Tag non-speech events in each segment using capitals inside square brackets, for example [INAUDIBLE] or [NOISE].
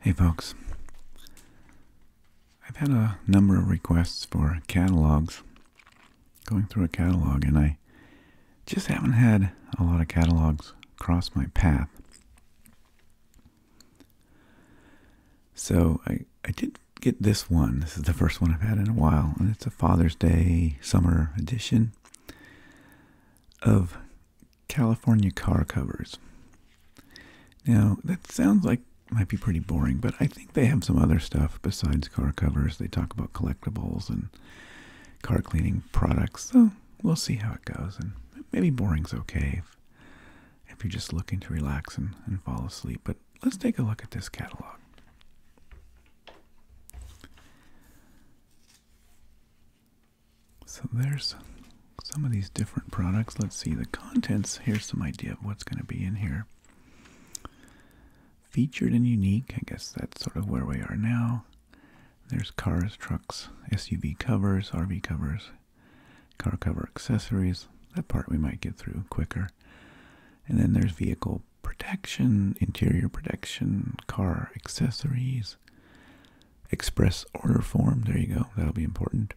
Hey folks, I've had a number of requests for catalogs, going through a catalog, and I just haven't had a lot of catalogs cross my path. So I, I did get this one. This is the first one I've had in a while, and it's a Father's Day summer edition of California car covers. Now, that sounds like might be pretty boring, but I think they have some other stuff besides car covers. They talk about collectibles and car cleaning products. So we'll see how it goes. And maybe boring's okay if, you're just looking to relax and, and fall asleep. But let's take a look at this catalog. So there's some of these different products. Let's see the contents. Here's some idea of what's going to be in here. Featured and unique. I guess that's sort of where we are now. There's cars, trucks, SUV covers, RV covers, car cover accessories. That part we might get through quicker. And then there's vehicle protection, interior protection, car accessories, express order form. There you go. That'll be important.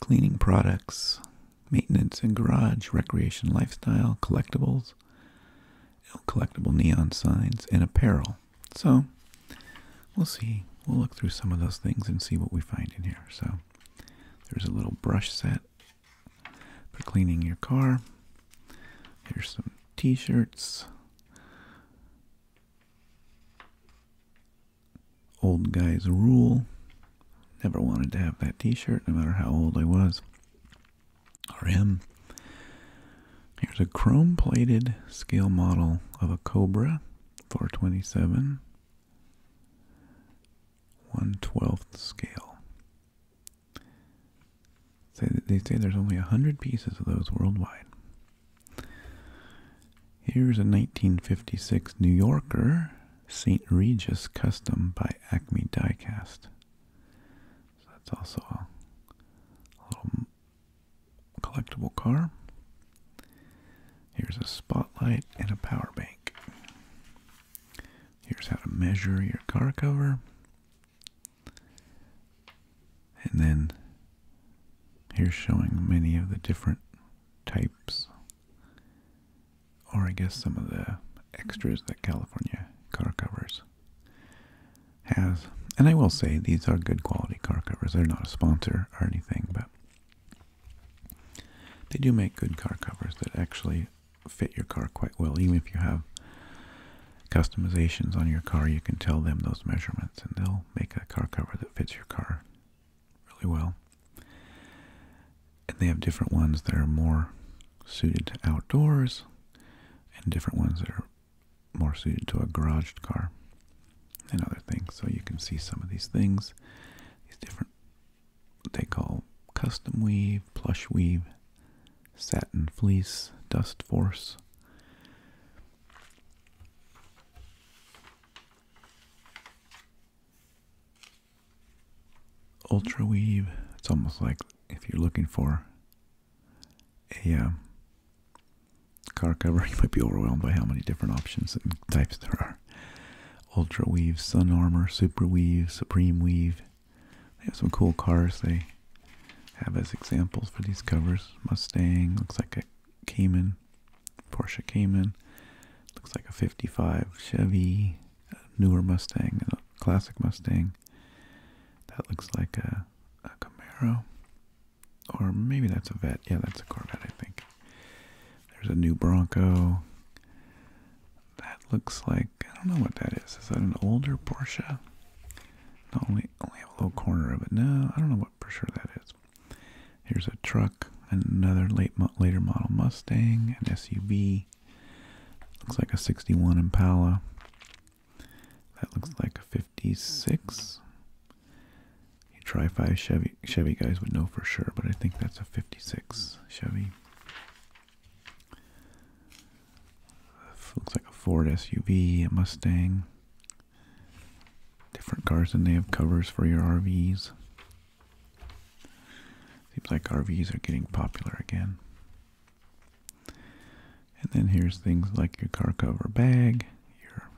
Cleaning products, maintenance and garage, recreation, lifestyle, collectibles, collectible neon signs, and apparel. So we'll see. We'll look through some of those things and see what we find in here. So there's a little brush set for cleaning your car. Here's some t-shirts, Old guys rule. Never wanted to have that t shirt, no matter how old I was R.M. Here's a chrome plated scale model of a Cobra 427, 1 12th scale. They say there's only 100 pieces of those worldwide. Here's a 1956 New Yorker St. Regis Custom by Acme Diecast. So that's also a, a little collectible car. Here's a spotlight and a power bank. Here's how to measure your car cover. And then here's showing many of the different types, or I guess some of the extras that California car covers has. And I will say these are good quality car covers. They're not a sponsor or anything, but they do make good car covers that actually fit your car quite well, even if you have customizations on your car, you can tell them those measurements and they'll make a car cover that fits your car really well. And they have different ones that are more suited to outdoors and different ones that are more suited to a garaged car and other things. So you can see some of these things, these different, they call custom weave, plush weave, Satin Fleece, Dust Force. Ultra Weave, it's almost like if you're looking for a um, car cover, [LAUGHS] you might be overwhelmed by how many different options and types there are. Ultra Weave, Sun Armor, Super Weave, Supreme Weave, they have some cool cars they have as examples for these covers. Mustang, looks like a Cayman, Porsche Cayman, looks like a 55 Chevy, newer Mustang, classic Mustang. That looks like a, Camaro. Or maybe that's a Vet. Yeah, that's a Corvette, I think. There's a new Bronco. That looks like, I don't know what that is. Is that an older Porsche? Not only only have a little corner of it. No, I don't know what for sure that is. Here's a truck, another late later model Mustang, an SUV. Looks like a '61 Impala. That looks like a '56. You try five Chevy Chevy guys would know for sure, but I think that's a '56 Chevy. Looks like a Ford SUV, a Mustang. Different cars and they have covers for your RVs. Seems like RVs are getting popular again. And then here's things like your car cover bag, your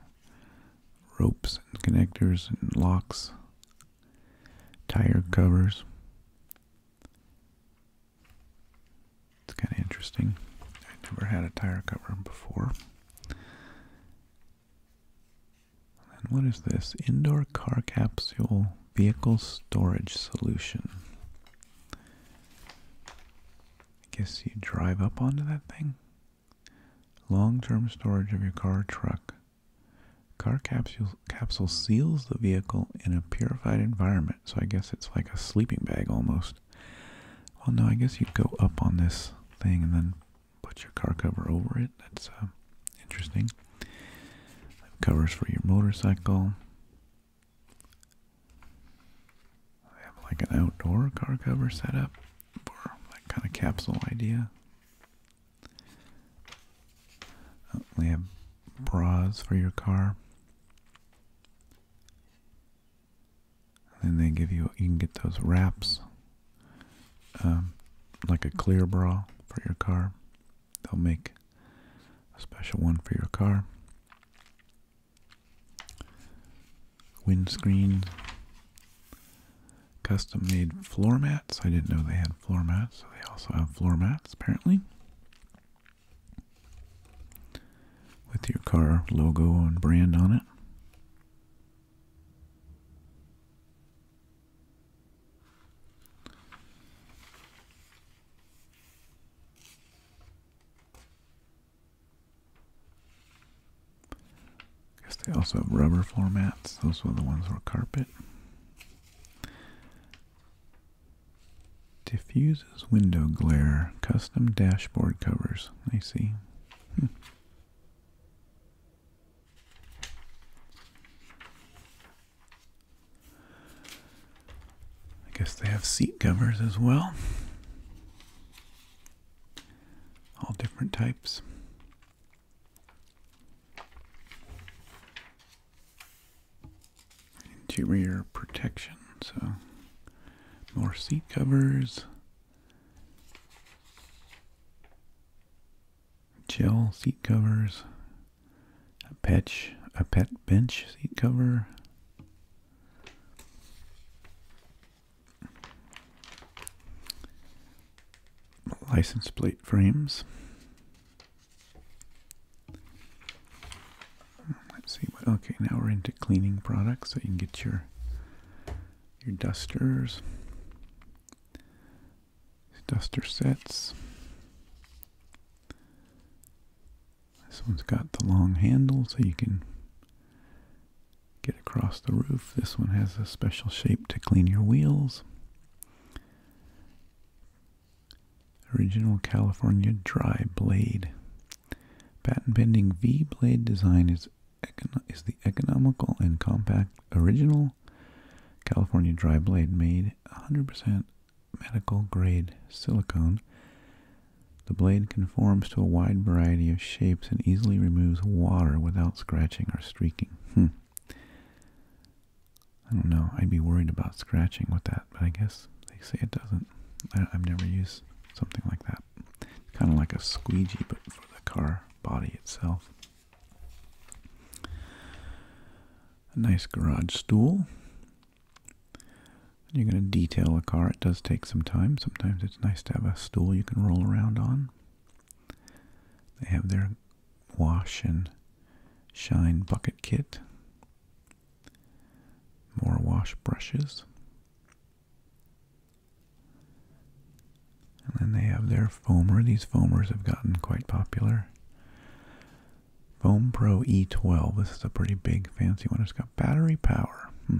ropes and connectors and locks, tire covers, it's kind of interesting. I never had a tire cover before. And what is this? Indoor car capsule vehicle storage solution. I guess you drive up onto that thing. Long-term storage of your car truck. Car capsule, capsule seals the vehicle in a purified environment so I guess it's like a sleeping bag almost. Well, no, I guess you'd go up on this thing and then put your car cover over it. That's uh, interesting. Covers for your motorcycle. I have like an outdoor car cover set up for that kind of capsule idea. They uh, have bras for your car. And then they give you, you can get those wraps, um, like a clear bra for your car. They'll make a special one for your car. Windscreen, custom made floor mats. I didn't know they had floor mats, so they also have floor mats apparently with your car logo and brand on it. I guess they also have rubber floor mats. Those were the ones for carpet. Diffuses window glare. Custom dashboard covers. I see. Hmm. I guess they have seat covers as well. All different types interior protection. So more seat covers, gel seat covers, a patch, a pet bench seat cover. License plate frames, Let's see what. Okay, now we're into cleaning products, so you can get your your dusters, duster sets. This one's got the long handle, so you can get across the roof. This one has a special shape to clean your wheels. Original California dry blade. Patent pending V blade design is is the economical and compact original California dry blade made 100% medical grade silicone. The blade conforms to a wide variety of shapes and easily removes water without scratching or streaking. Hmm. I don't know. I'd be worried about scratching with that but I guess they say it doesn't. I, have never used something like that. It's kind of like a squeegee, but for the car body itself. A nice garage stool. You're going to detail a car. It does take some time. Sometimes it's nice to have a stool you can roll around on. They have their wash and shine bucket kit. More wash brushes. And then they have their foamer. These foamers have gotten quite popular. Foam Pro E12. This is a pretty big, fancy one. It's got battery power. Hmm.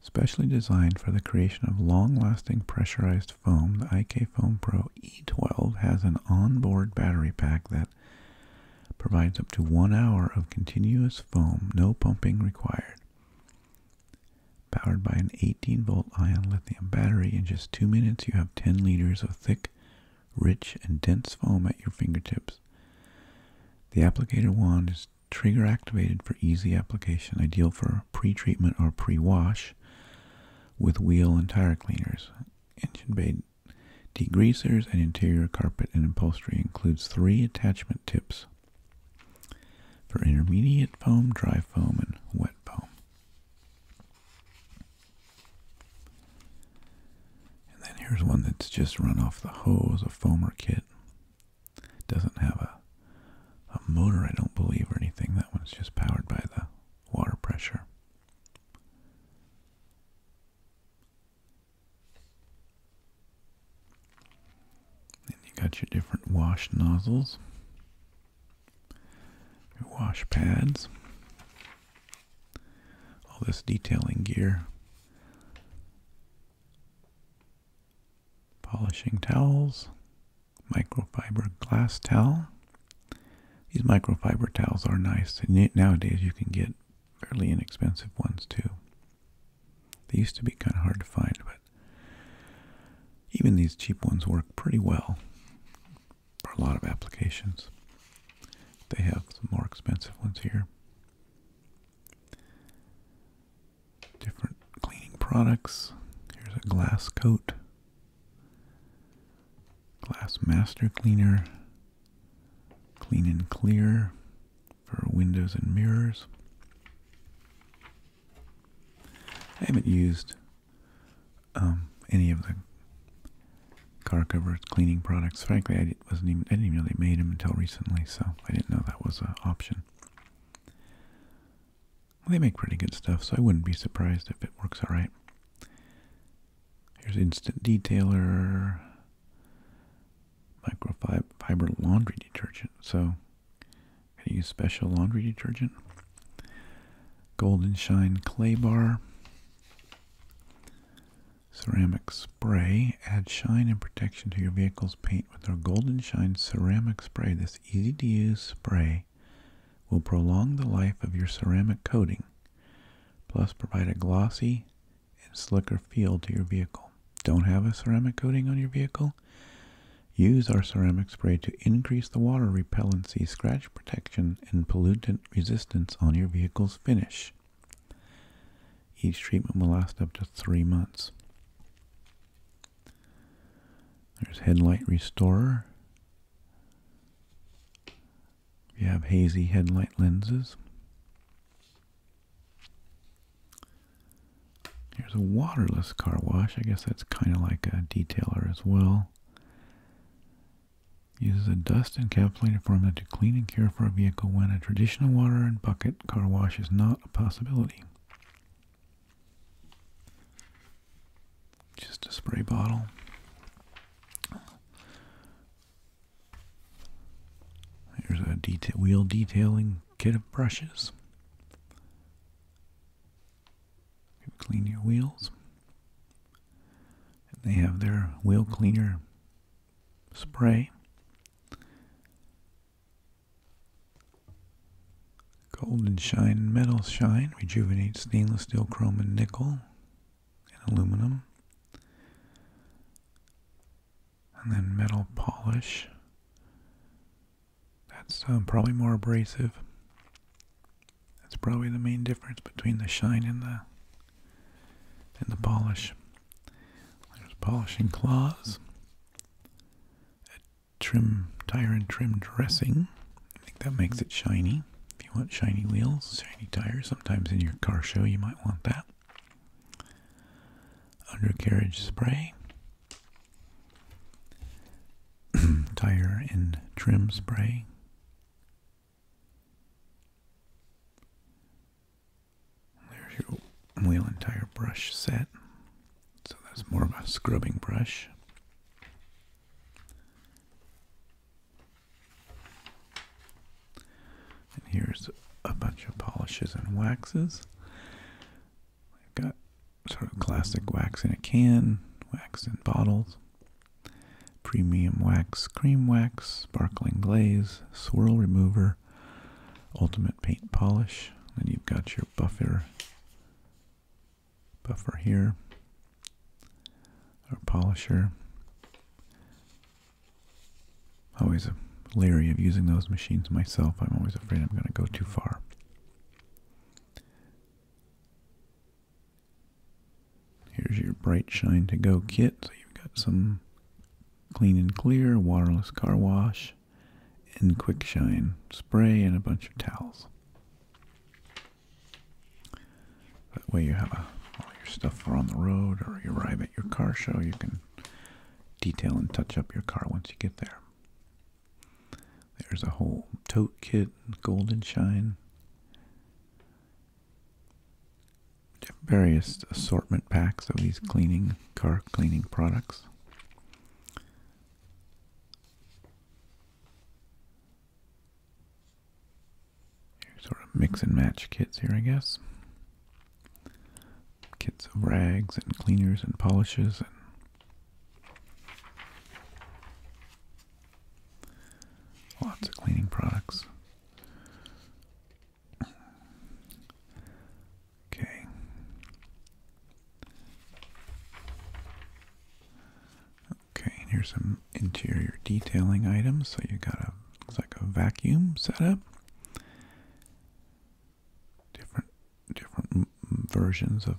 Specially designed for the creation of long-lasting pressurized foam, the IK Foam Pro E12 has an onboard battery pack that provides up to one hour of continuous foam, no pumping required. Powered by an 18 volt ion lithium battery, in just two minutes you have 10 liters of thick, rich, and dense foam at your fingertips. The applicator wand is trigger activated for easy application, ideal for pre treatment or pre wash with wheel and tire cleaners. Engine bay Degreasers and interior carpet and upholstery includes three attachment tips for intermediate foam, dry foam, and wet foam. And then here's one that's just run off the hose, a foamer kit. Doesn't have a a motor, I don't believe, or anything. That one's just powered by the water pressure. Then you got your different wash nozzles, your wash pads, all this detailing gear, polishing towels, microfiber glass towel. These microfiber towels are nice. Nowadays you can get fairly inexpensive ones too. They used to be kind of hard to find, but even these cheap ones work pretty well for a lot of applications. They have some more expensive ones here. Different cleaning products. Here's a glass coat, glass master cleaner, clean and clear for windows and mirrors. I haven't used um, any of the car cover cleaning products. Frankly, I wasn't even I didn't even know they made them until recently, so I didn't know that was an option. they make pretty good stuff, so I wouldn't be surprised if it works all right. Here's instant detailer, microfiber laundry detergent. So, gonna use special laundry detergent. Golden Shine clay bar, ceramic spray. Add shine and protection to your vehicle's paint with our Golden Shine ceramic spray. This easy-to-use spray will prolong the life of your ceramic coating, plus provide a glossy and slicker feel to your vehicle. Don't have a ceramic coating on your vehicle? Use our ceramic spray to increase the water repellency, scratch protection, and pollutant resistance on your vehicle's finish. Each treatment will last up to three months. There's Headlight Restorer. You have hazy headlight lenses. Here's a waterless car wash. I guess that's kind of like a detailer as well. Uses a dust and encapsulated formula to clean and care for a vehicle when a traditional water and bucket car wash is not a possibility. Just a spray bottle. There's a wheel detailing kit of brushes. clean your wheels. they have their wheel cleaner spray. Golden shine, metal shine, rejuvenate stainless steel, chrome, and nickel and aluminum. And then metal polish. That's uh, probably more abrasive. That's probably the main difference between the shine and the and the polish. There's polishing claws. A trim tire and trim dressing. I think that makes it shiny if you want shiny wheels, shiny tires. Sometimes in your car show you might want that. Undercarriage spray. [CLEARS THROAT] Tire and trim spray. There's your wheel and tire brush set. So that's more of a scrubbing brush. And here's a bunch of polishes and waxes. I've got sort of classic wax in a can, wax in bottles, premium wax, cream wax, sparkling glaze, swirl remover, ultimate paint polish. And you've got your buffer buffer here our polisher. Always leery of using those machines myself. I'm always afraid I'm going to go too far. Here's your Bright Shine to Go kit. So you've got some clean and clear, waterless car wash, and quick shine spray, and a bunch of towels. That way you have uh, all your stuff for on the road or you arrive at your car show, you can detail and touch up your car once you get there. There's a whole tote kit, golden shine, various assortment packs of these cleaning, car cleaning products sort of mix and match kits here, I guess. Kits of rags and cleaners and polishes and lots of cleaning products. Okay. Okay, and here's some interior detailing items. So you got a looks like a vacuum setup. Different different versions of.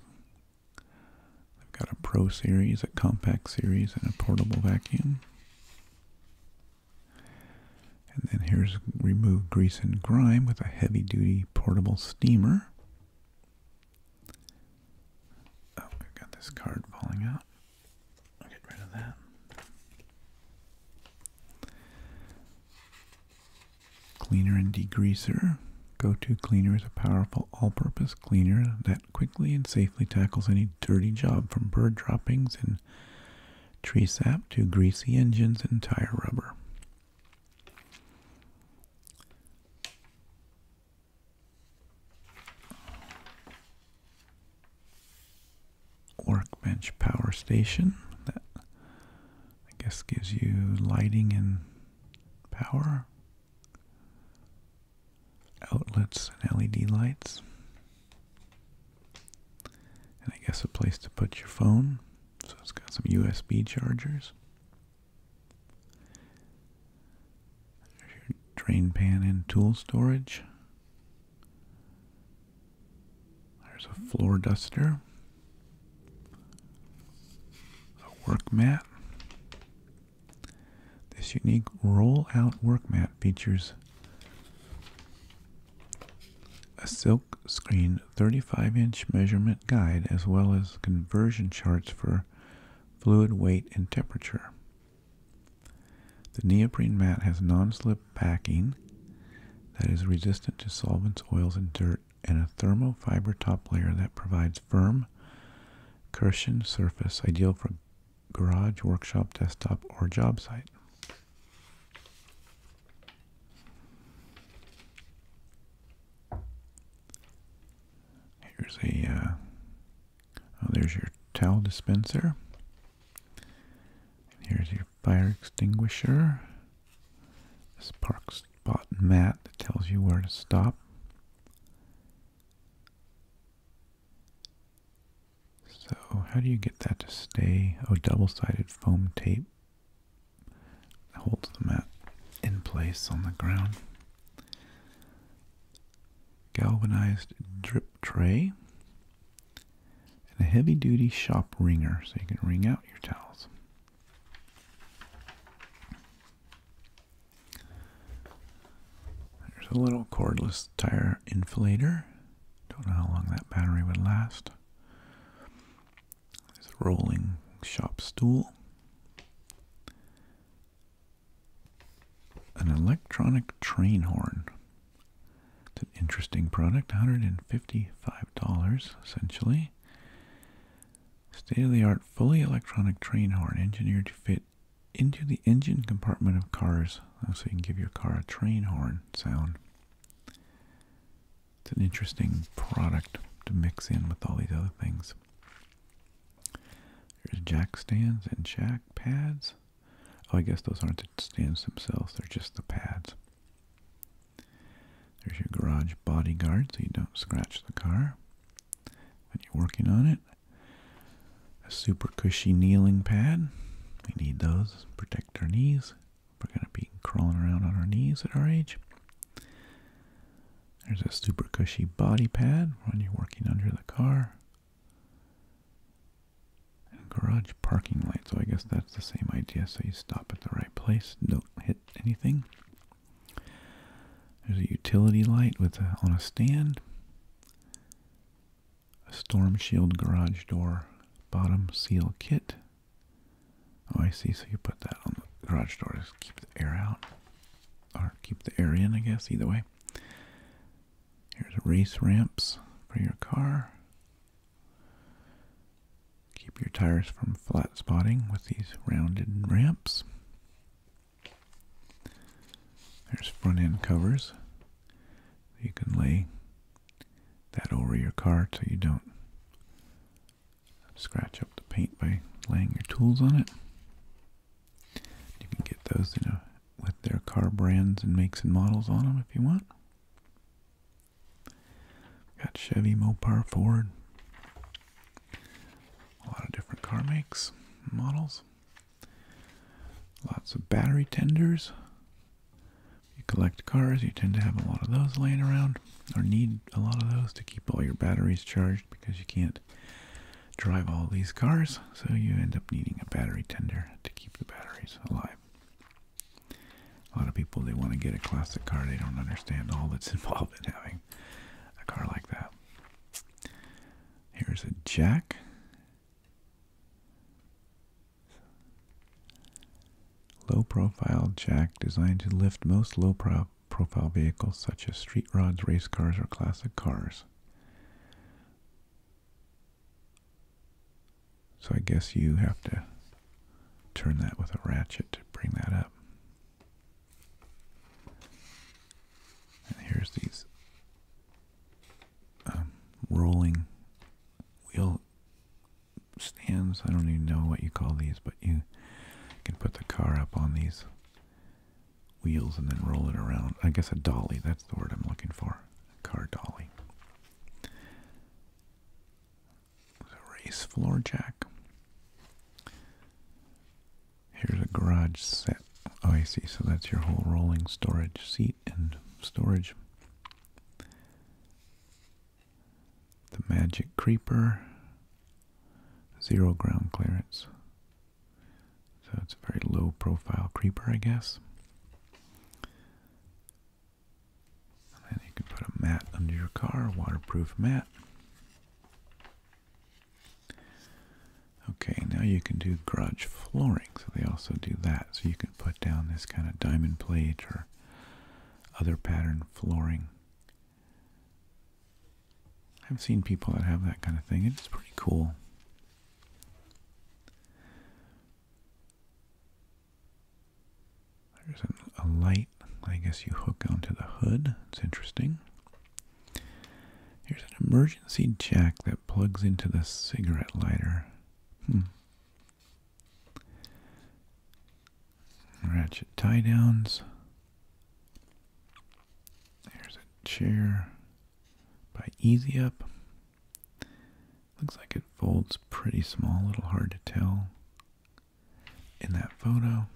I've got a Pro series, a compact series, and a portable vacuum. And then here's remove grease and grime with a heavy duty portable steamer. Oh, we got this card falling out. Cleaner and degreaser. Go-to cleaner is a powerful all-purpose cleaner that quickly and safely tackles any dirty job from bird droppings and tree sap to greasy engines and tire rubber workbench power station that I guess gives you lighting and power outlets and LED lights and I guess a place to put your phone so it's got some USB chargers there's your drain pan and tool storage. There's a floor duster. A work mat. This unique roll-out work mat features a silk screen 35-inch measurement guide as well as conversion charts for fluid weight and temperature. The neoprene mat has non-slip backing that is resistant to solvents, oils, and dirt, and a thermal fiber top layer that provides firm cushioned surface ideal for garage, workshop, desktop, or job site. Here's a uh, Oh, there's your towel dispenser. here's your fire extinguisher. This park spot mat that tells you where to stop. So how do you get that to stay? Oh, double-sided foam tape holds the mat in place on the ground galvanized drip tray, and a heavy duty shop wringer so you can wring out your towels. There's a little cordless tire inflator. Don't know how long that battery would last. There's a rolling shop stool. An electronic train horn. It's an interesting product, $155 essentially. State of the art, fully electronic train horn engineered to fit into the engine compartment of cars. Oh, so you can give your car a train horn sound. It's an interesting product to mix in with all these other things. There's jack stands and jack pads. Oh, I guess those aren't the stands themselves, they're just the pads. There's your garage bodyguard so you don't scratch the car when you're working on it. A super cushy kneeling pad. We need those protect our knees. We're going to be crawling around on our knees at our age. There's a super cushy body pad when you're working under the car garage parking light, so I guess that's the same idea. So you stop at the right place, don't hit anything. There's a utility light with on a stand. A storm shield garage door bottom seal kit. Oh, I see. So you put that on the garage door to keep the air out, or keep the air in, I guess. Either way. Here's race ramps for your car. Keep your tires from flat spotting with these rounded ramps. There's front end covers. You can lay that over your car so you don't scratch up the paint by laying your tools on it. You can get those, you know, with their car brands and makes and models on them if you want. Got Chevy, Mopar, Ford. A lot of different car makes, models. Lots of battery tenders. You collect cars, you tend to have a lot of those laying around, or need a lot of those to keep all your batteries charged because you can't drive all these cars, so you end up needing a battery tender to keep the batteries alive. A lot of people, they want to get a classic car, they don't understand all that's [LAUGHS] involved in having a car like that. Here's a jack. Low profile jack designed to lift most low profile vehicles such as street rods, race cars, or classic cars. So I guess you have to turn that with a ratchet to bring that up. And here's these um, rolling wheel stands. I don't even know what you call these, but you can put the car up on these wheels and then roll it around. I guess a dolly, that's the word I'm looking for. car dolly. A race floor jack. Here's a garage set. Oh, I see. So that's your whole rolling storage seat and storage. The magic creeper. Zero ground clearance. So it's a very low profile creeper, I guess. And you can put a mat under your car, waterproof mat. Okay, now you can do garage flooring, so they also do that. So you can put down this kind of diamond plate or other pattern flooring I've seen people that have that kind of thing. It's pretty cool. There's a light, I guess you hook onto the hood. It's interesting. Here's an emergency jack that plugs into the cigarette lighter. Hmm. Ratchet tie downs. There's a chair by Easy Up. Looks like it folds pretty small, a little hard to tell in that photo.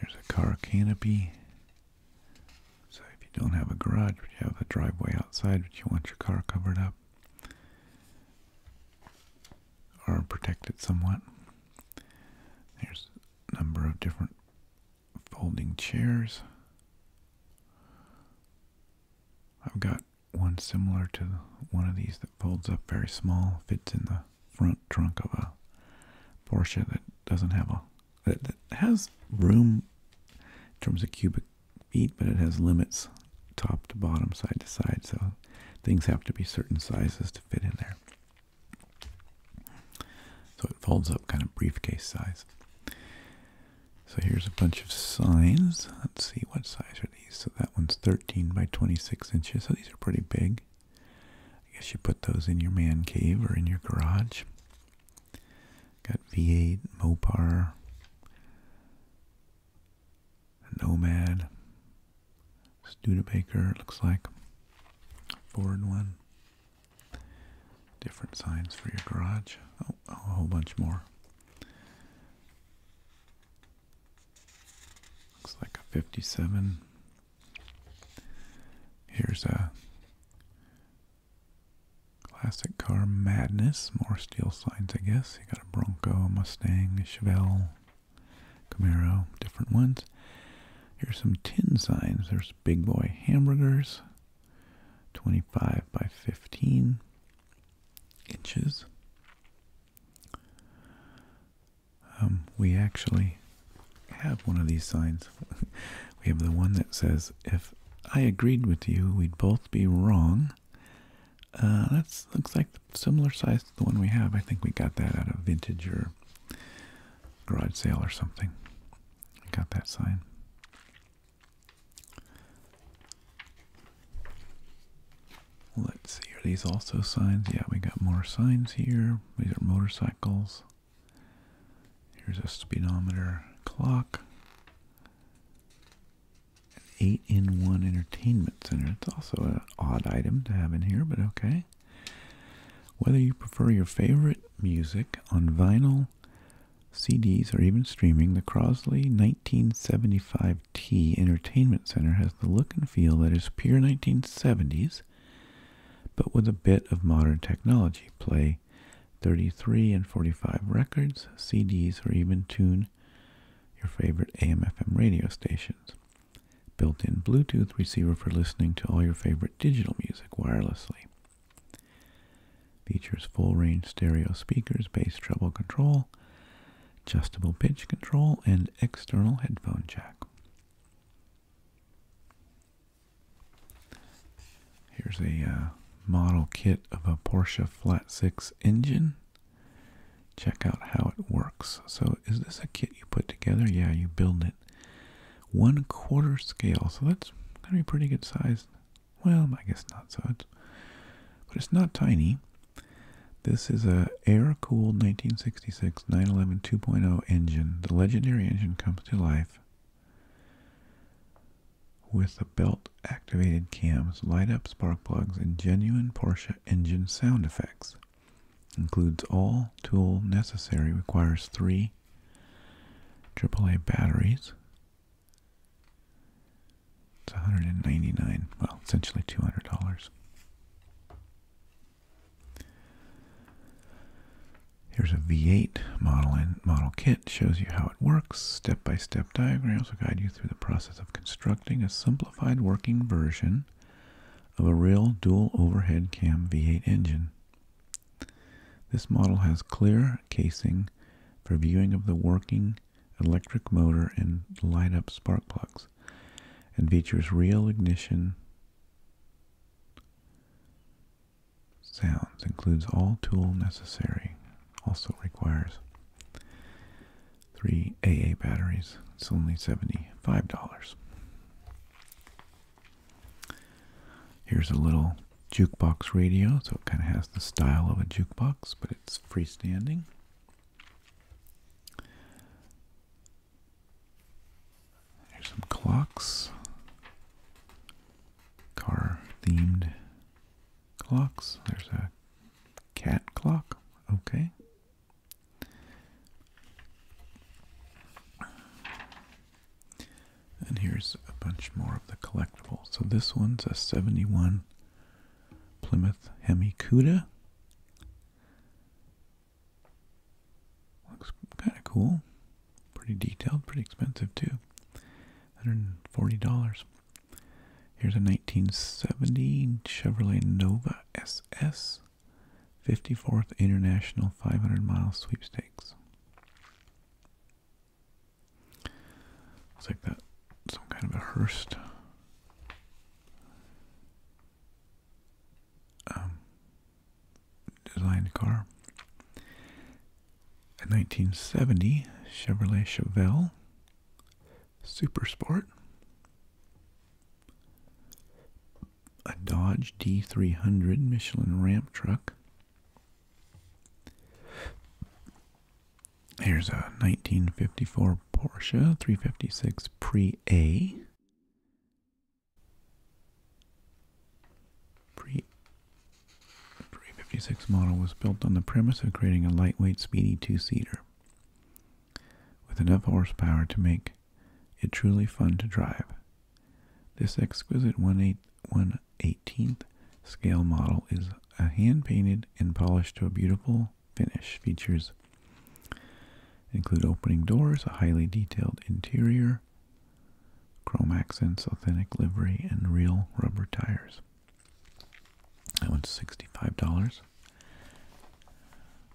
There's a car canopy. So if you don't have a garage, but you have a driveway outside, but you want your car covered up, are protected somewhat. There's a number of different folding chairs. I've got one similar to one of these that folds up very small, fits in the front trunk of a Porsche that doesn't have a that, that has room in terms of cubic feet, but it has limits top to bottom, side to side. So things have to be certain sizes to fit in there. So it folds up kind of briefcase size. So here's a bunch of signs. Let's see, what size are these? So that one's 13 by 26 inches. So these are pretty big. I guess you put those in your man cave or in your garage. Got V8, Mopar, Nomad, Studebaker, it looks like. Ford one. Different signs for your garage. Oh, a whole bunch more. Looks like a 57. Here's a classic car madness. More steel signs, I guess. You got a Bronco, a Mustang, a Chevelle, Camaro, different ones. Here's some tin signs. There's Big Boy Hamburgers, 25 by 15 inches. Um, we actually have one of these signs. [LAUGHS] we have the one that says, if I agreed with you, we'd both be wrong. Uh, that looks like similar size to the one we have. I think we got that out of vintage or garage sale or something. got that sign. Let's see, are these also signs? Yeah, we got more signs here. These are motorcycles. Here's a speedometer clock an eight-in-one entertainment center. It's also an odd item to have in here, but okay. Whether you prefer your favorite music on vinyl, CDs, or even streaming, the Crosley 1975T Entertainment Center has the look and feel that is pure 1970s, but with a bit of modern technology. Play 33 and 45 records, CDs, or even tune your favorite AM/FM radio stations, built-in Bluetooth receiver for listening to all your favorite digital music wirelessly. Features full-range stereo speakers, bass treble control, adjustable pitch control, and external headphone jack. Here's a uh, model kit of a Porsche Flat 6 engine check out how it works. So is this a kit you put together? Yeah, you build it. One quarter scale, so that's gonna be pretty good size. Well, I guess not so. It's, but it's not tiny. This is a air-cooled 1966 911 2.0 engine. The legendary engine comes to life with a belt-activated cams, light-up spark plugs, and genuine Porsche engine sound effects. Includes all tool necessary, requires three AAA batteries. It's 199 well, essentially $200. Here's a V8 model and model kit. Shows you how it works. Step-by-step -step diagrams will guide you through the process of constructing a simplified working version of a real dual overhead cam V8 engine. This model has clear casing for viewing of the working electric motor and light up spark plugs and features real ignition sounds includes all tool necessary also requires three AA batteries. It's only $75. Here's a little jukebox radio, so it kind of has the style of a jukebox, but it's freestanding. Here's some clocks, car themed clocks. There's a cat clock. Okay. And here's a bunch more of the collectibles. So this one's a 71 Plymouth Hemi Cuda. Looks kind of cool. Pretty detailed, pretty expensive too. $140. Here's a 1970 Chevrolet Nova SS 54th International 500 Mile Sweepstakes. Looks like that, some kind of a Hurst um, designed car. A 1970 Chevrolet Chevelle Super Sport, a Dodge D300 Michelin ramp truck. Here's a 1954 Porsche 356 Pre A. Pre 356 model was built on the premise of creating a lightweight, speedy two seater with enough horsepower to make it truly fun to drive. This exquisite 118th scale model is a hand-painted and polished to a beautiful finish. Features include opening doors, a highly detailed interior, chrome accents, authentic livery, and real rubber tires. That one's $65.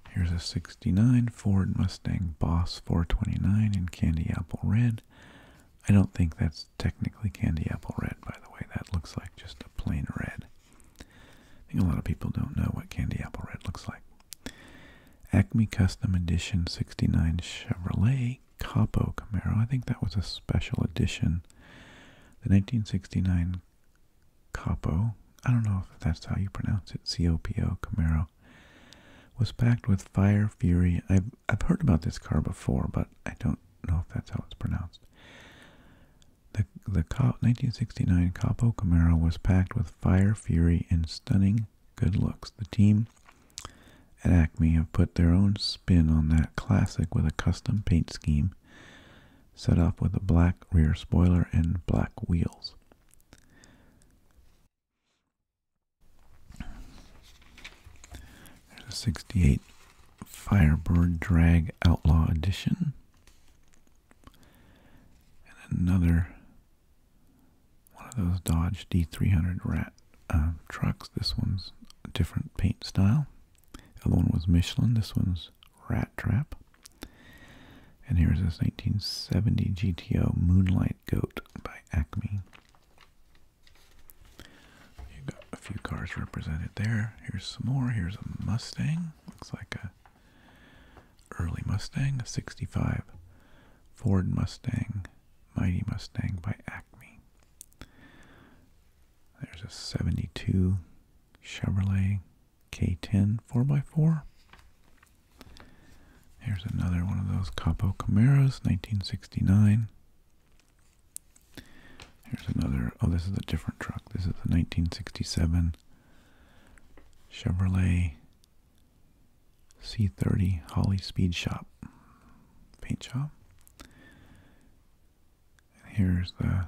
Here's a 69 Ford Mustang Boss 429 in Candy Apple Red. I don't think that's technically Candy Apple Red, by the way. That looks like just a plain red. I think a lot of people don't know what Candy Apple Red looks like. Acme Custom Edition 69 Chevrolet Capo Camaro. I think that was a special edition. The 1969 Capo, I don't know if that's how you pronounce it, C-O-P-O, Camaro, was packed with fire, fury. I've, I've heard about this car before, but I don't know if that's how it's pronounced. The, the 1969 Capo Camaro was packed with fire, fury, and stunning good looks. The team at Acme have put their own spin on that classic with a custom paint scheme set off with a black rear spoiler and black wheels. There's a 68 Firebird Drag Outlaw Edition. And another one of those Dodge D300 rat uh, trucks. This one's a different paint style. The other one was Michelin. This one's Rat Trap. And here's this 1970 GTO Moonlight Goat by Acme. You got a few cars represented there. Here's some more. Here's a Mustang. Looks like a early Mustang, a 65 Ford Mustang, Mighty Mustang by Acme. There's a 72 Chevrolet K10 4x4. Here's another one of those Capo Camaros, 1969. Here's another, oh, this is a different truck. This is the 1967 Chevrolet C30 Holly Speed Shop paint shop. And here's the,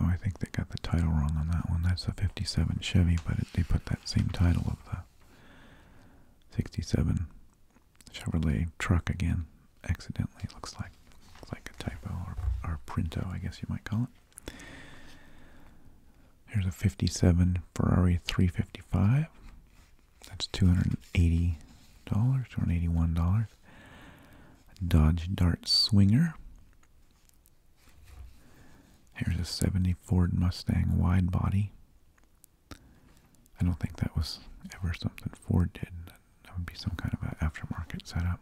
oh, I think they got the title wrong on that one. That's a 57 Chevy, but they put that same title of the 67 Chevrolet truck again, accidentally. looks like, looks like a typo or, or printo, I guess you might call it. Here's a 57 Ferrari 355. That's $280, or eighty one dollars Dodge Dart Swinger. Here's a 70 Ford Mustang wide body. I don't think that was ever something Ford did. That would be some kind of an aftermarket setup.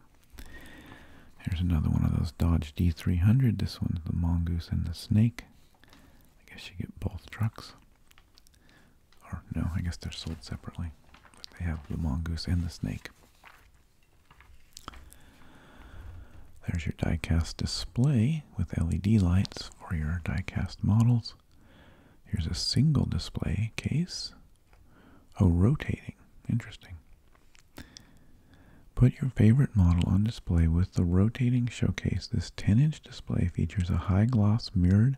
Here's another one of those Dodge D300. This one's the Mongoose and the Snake. I guess you get both trucks. Or no, I guess they're sold separately. But they have the Mongoose and the Snake. There's your diecast display with LED lights for your diecast models. Here's a single display case. Oh, rotating. Interesting. Put your favorite model on display with the rotating showcase. This 10-inch display features a high-gloss mirrored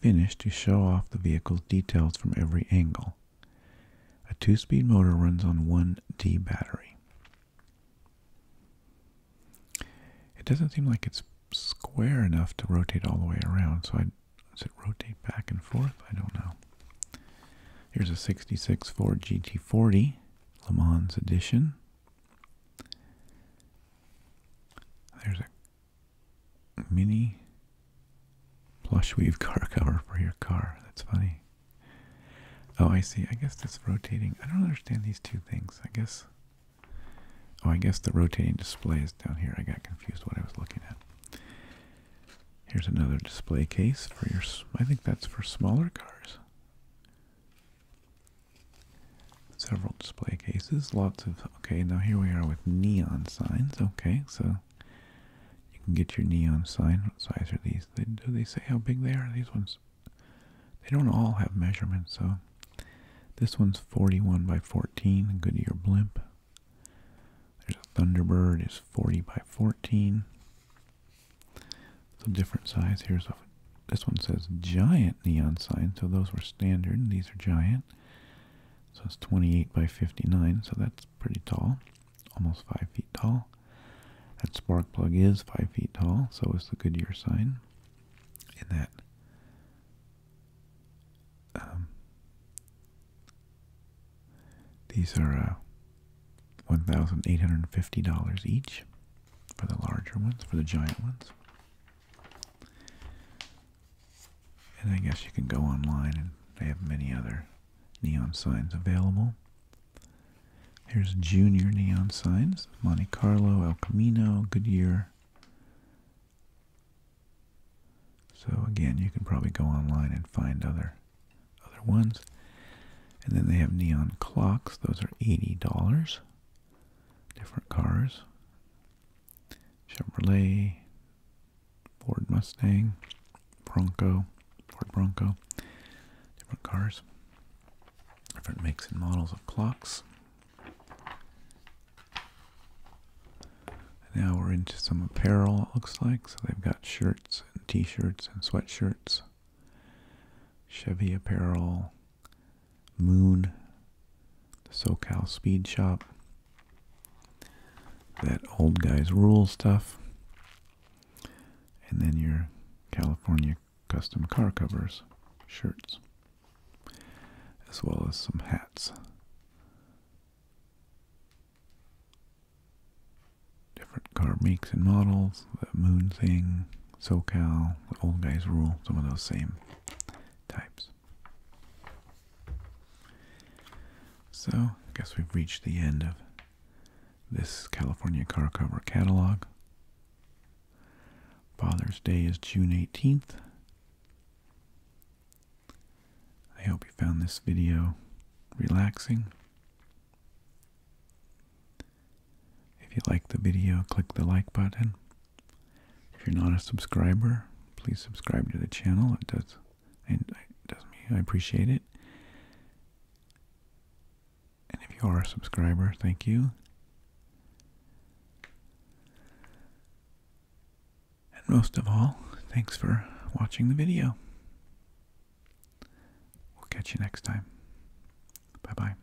finished to show off the vehicle's details from every angle. A two-speed motor runs on one D battery. It doesn't seem like it's square enough to rotate all the way around, so I does it rotate back and forth? I don't know. Here's a 66 Ford GT40 Le Mans edition. There's a mini plush weave car cover for your car. That's funny. Oh, I see. I guess that's rotating. I don't understand these two things. I guess. Oh, I guess the rotating display is down here. I got confused what I was looking at. Here's another display case for your. I think that's for smaller cars. Several display cases, lots of Okay, now here we are with neon signs. Okay, so you can get your neon sign. What size are these? do they say how big they are? These ones, they don't all have measurements. So this one's 41 by 14, Goodyear blimp. There's a Thunderbird is 40 by 14. It's a different size. Here's a, this one says giant neon sign. So those were standard. These are giant. So it's 28 by 59, so that's pretty tall, almost 5 feet tall. That spark plug is 5 feet tall, so is the Goodyear sign. And that um, these are uh, $1,850 each for the larger ones, for the giant ones. And I guess you can go online and they have many other neon signs available. Here's junior neon signs, Monte Carlo, El Camino, Goodyear. So again, you can probably go online and find other other ones. And then they have neon clocks. Those are $80. Different cars. Chevrolet, Ford Mustang, Bronco, Ford Bronco, different cars, different makes and models of clocks. now we're into some apparel, it looks like. So they've got shirts and t shirts and sweatshirts, Chevy apparel, Moon, the SoCal Speed Shop, that old guys rule stuff, and then your California custom car covers, shirts, as well as some hats. Different car makes and models, the moon thing, SoCal, the old guys rule, some of those same types. So, I guess we've reached the end of this California car cover catalog. Father's Day is June 18th. I hope you found this video relaxing. If you like the video, click the like button. If you're not a subscriber, please subscribe to the channel. It does, it, does me. I appreciate it. And if you are a subscriber, thank you. And most of all, thanks for watching the video. We'll catch you next time. Bye bye.